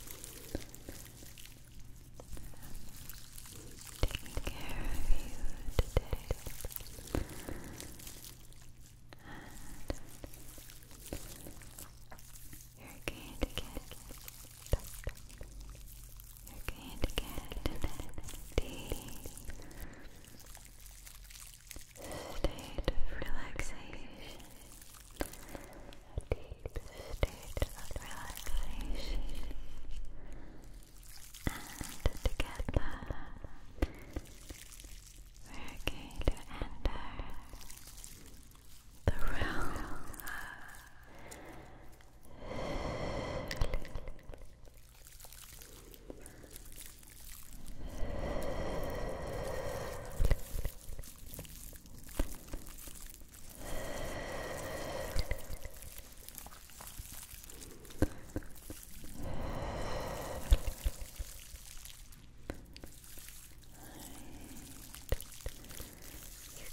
taking care of you today. And you're going to get you're going to get an deep state relaxation deep state of relaxation. And together, we're going to enter the realm Sleep. You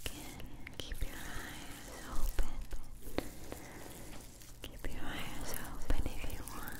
can keep your eyes open. Keep your eyes open if you want.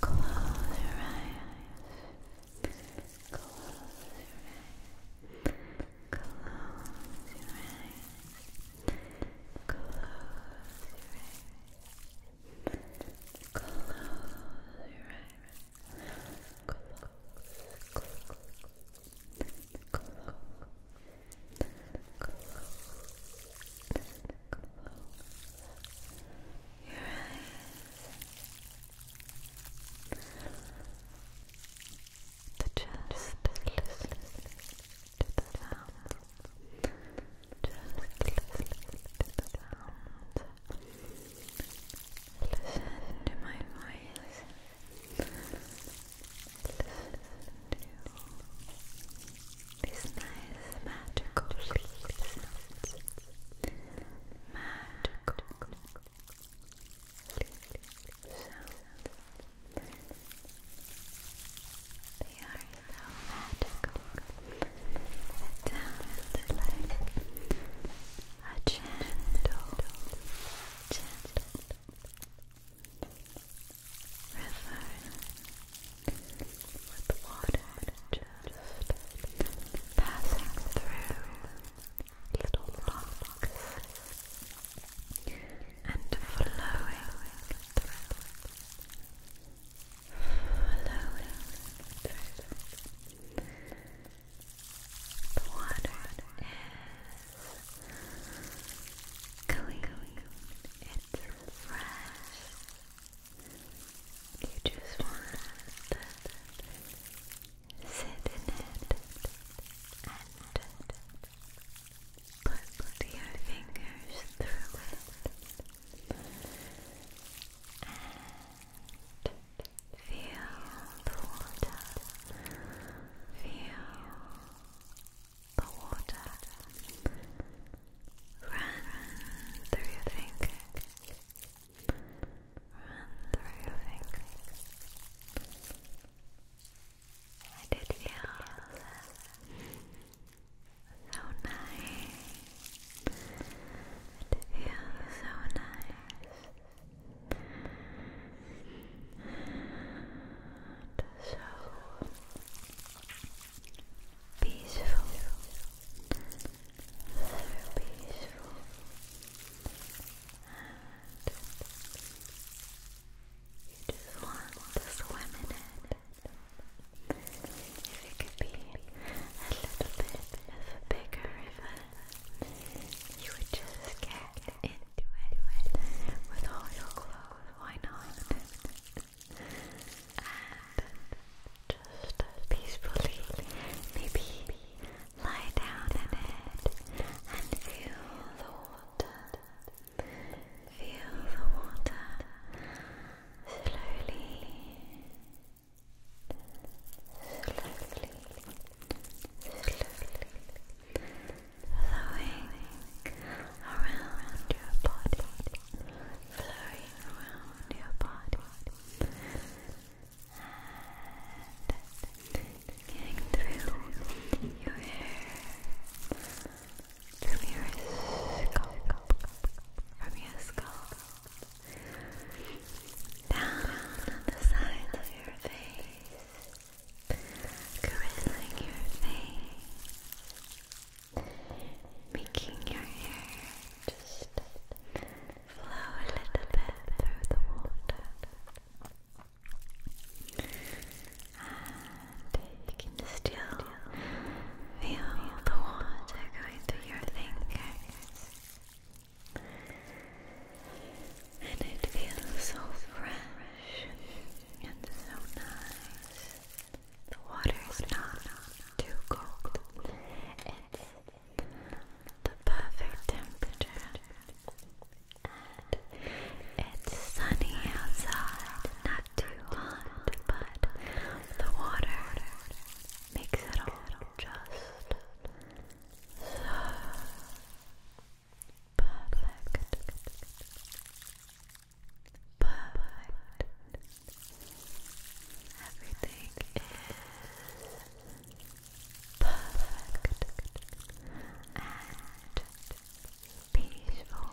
Close your eyes. Close your eyes. Close your eyes. Close your eyes. Close your eyes. Close, close, close. Close, close, your eyes the listen to the sound just listen to the sound listen to my voice listen to these nice magical leaf Magical leaf They are so magical. It sounds like a gentle, gentle river with water just passing through little rocks and flowing through, flowing through. The water is clean, it's fresh. You just want to sit in it and put your fingers through it and feel the water, feel the water Run through your fingers. Run through your fingers. I did feel so nice. I did so nice. so peaceful, so peaceful, you just want to swim in it. If it could be a little bit of a bigger river, you would just get into it with all your clothes. Why not? and just peacefully maybe lie down in it and feel the water. Feel the water slowly, slowly, slowly flowing around your body, around your body and getting through your hair, from your scalp, down on the sides of your face, caressing your face making your hair just flow a little bit through the water. And you still feel the water going through your fingers. And it feels so fresh and so nice. The water is not too cold. It's the perfect temperature. And it's sunny outside, not too hot, but the water makes it all just perfect but everything is perfect and peaceful,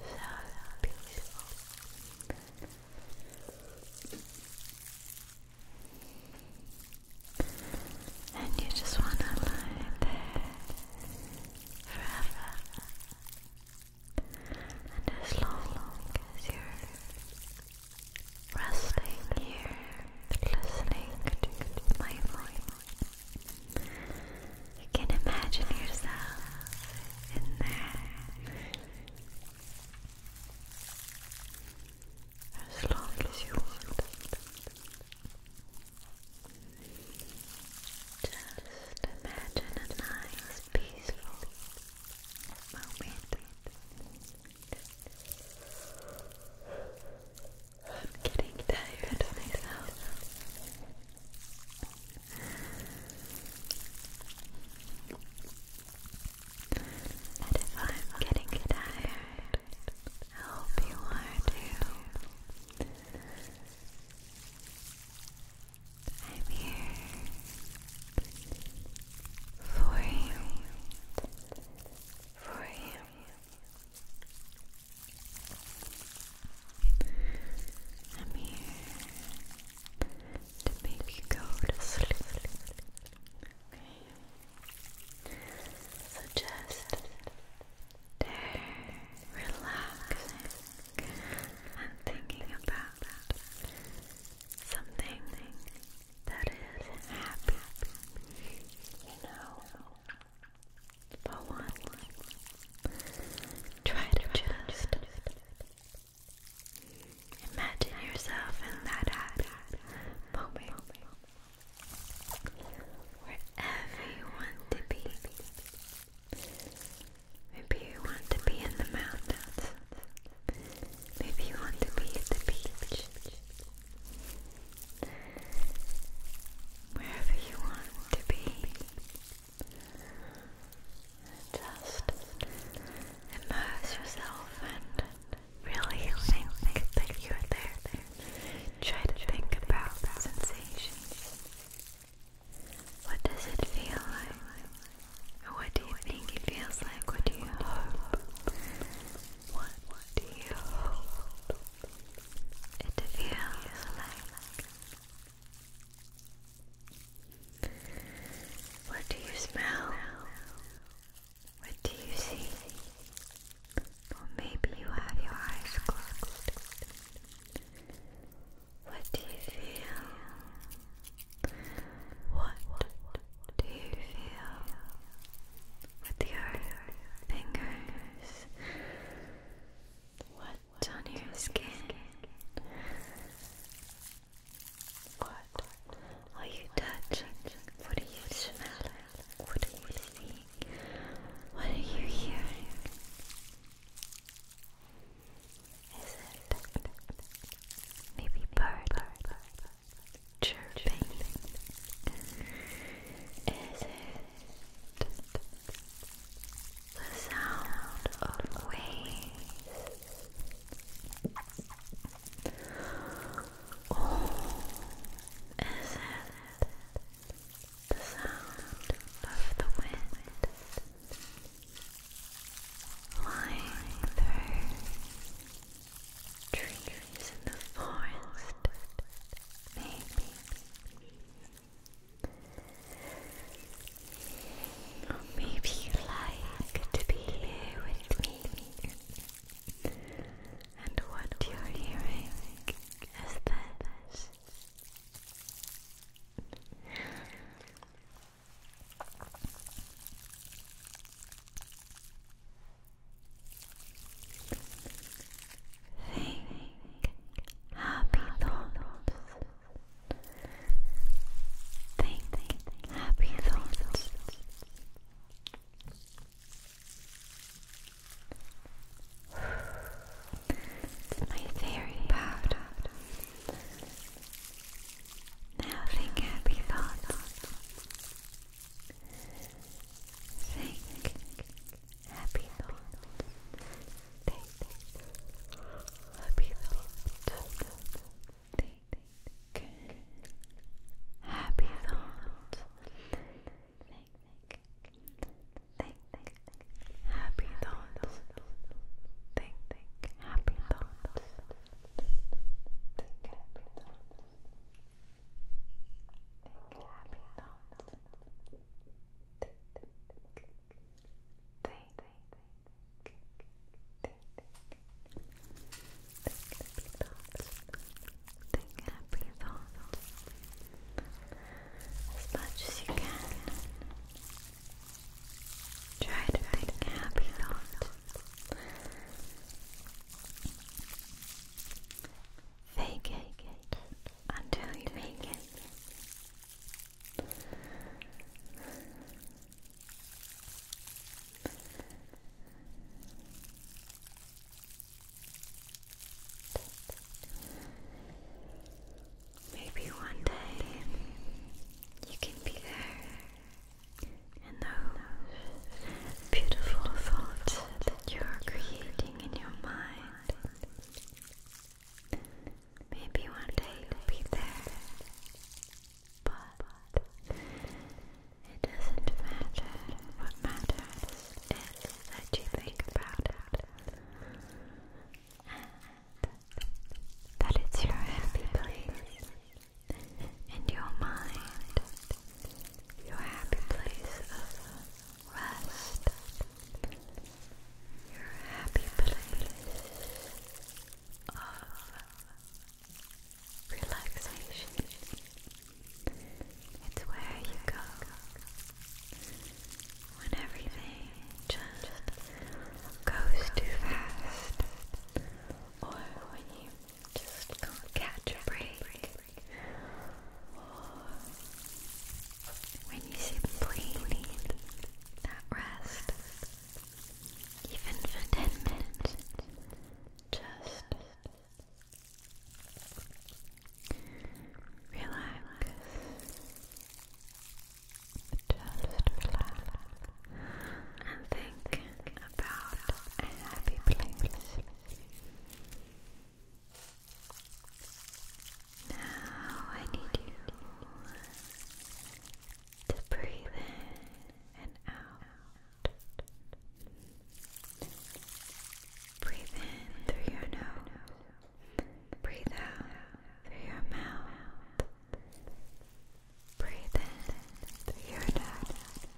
so peaceful. And you just want to lie there forever and as long as you're resting here, listening to my voice, you can imagine yourself in there. As long as you want. Just imagine a nice, peaceful moment. I'm getting tired of myself. And if I'm getting tired, I hope you are too. I'm here for you, for you. I'm here to make you go to sleep. Okay. So just there, relaxing and thinking about something that is happy, you know. But one, try to just imagine yourself in that happy moment. Where everyone to be Maybe you want to be in the mountains. Maybe you want to be at the beach. Wherever you want to be. Just immerse yourself and really think, that you're there. Try to think about sensations. What does it feel like? What do you think it feels like? What do you hope? What do you hope it feels like? What do you smell? What do you see? Or maybe you have your eyes closed. What do you feel? What do you feel with your fingers? What on your skin? What are you touching? What do you smell? What do you see? What are you hearing? Is it maybe bird chirping? Is it the sound of waves? Oh, is it the sound of the wind flying through trees in the forest, maybe. maybe you like to be here with me. And what you're hearing is this Think happy thoughts. Think happy thoughts. It's my fairy powder. Now think happy thoughts. Think happy thoughts. Think happy thoughts. Think happy thoughts. Think think, happy thoughts. Think, think, happy thoughts. Think, happy thoughts. Think, happy thoughts. Think, think, think, think, think, think, think, think, something happy thought as much as you can. Try to think happy thought. Fake it until you make it. Maybe one day you can be there and those beautiful thoughts that you're creating in your mind. Maybe one day you'll be there, but it doesn't matter. What matters that you think about it. That it's your happy place and your mind, your happy place of rest, your happy place of relaxation. It's where you go when everything just goes too fast, or when you just can't catch a break, or when you simply need that rest, even for ten minutes. Just Relax. Just relax and think about a happy place. Now I need you to breathe in and out. Breathe in through your nose. Breathe out through your mouth. Breathe in through your nose.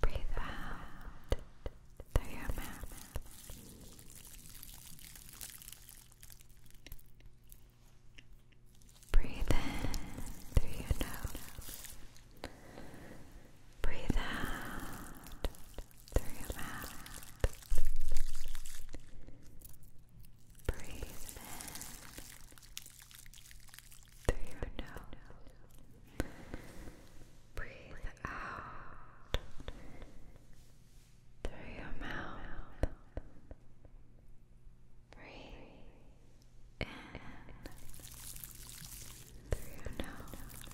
Breathe out through your mouth. Breathe in through your nose. Breathe out through your mouth. Breathe in through your nose. Breathe out through your mouth. Breathe in through your nose.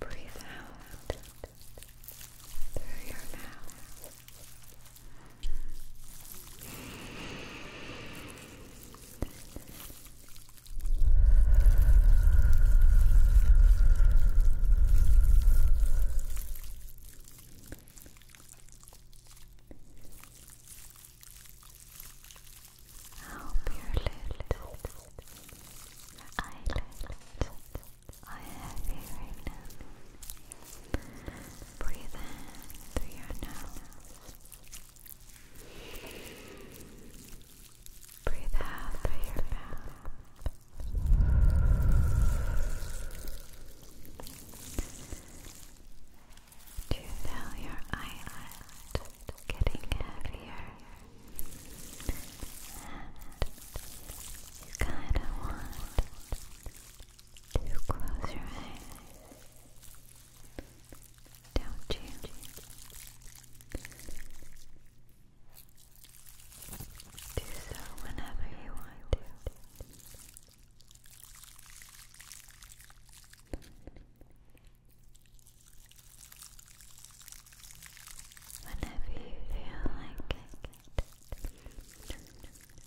Breathe out through your mouth. Help your lips, eyelids are heavy right now. Breathe in through your nose. Breathe out through your mouth. Do you feel your eyelid getting heavier? And you kind of want to close your eyes, don't you? Do so whenever you want to. Whenever you feel like it,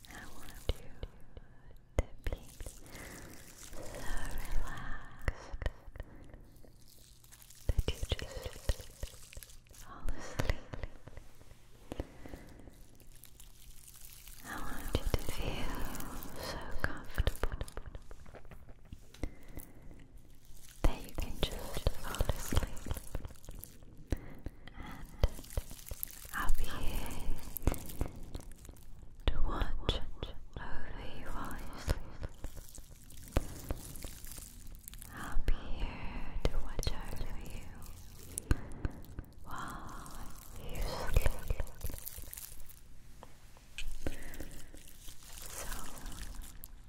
I want you to be so relaxed that you just fall asleep. I want you to feel so comfortable that you can just fall asleep. And I'll be here to watch over you while you sleep. I'll be here to watch over you while you sleep. So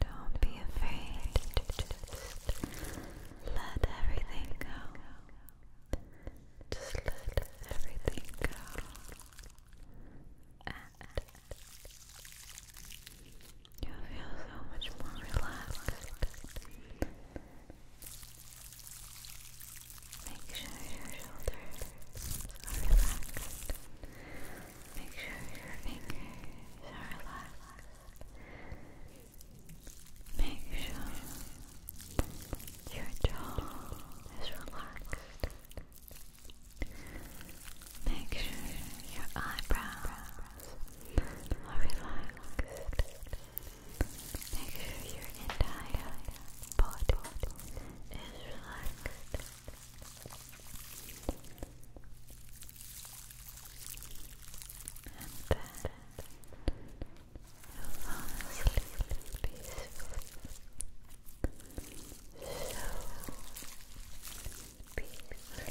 don't be afraid to just let everything go. Just let everything go. And You'll feel so much more relaxed. Make sure your shoulders are relaxed. Make sure your fingers are relaxed. Make sure your jaw is relaxed. Make sure your eyebrows are relaxed. Make sure your entire body is relaxed. And then you fall asleep peacefully. So peacefully.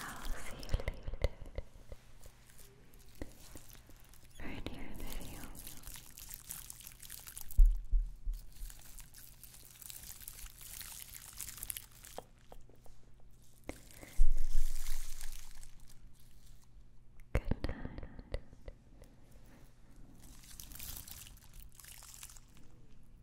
I'll see you later for a new video. Good night.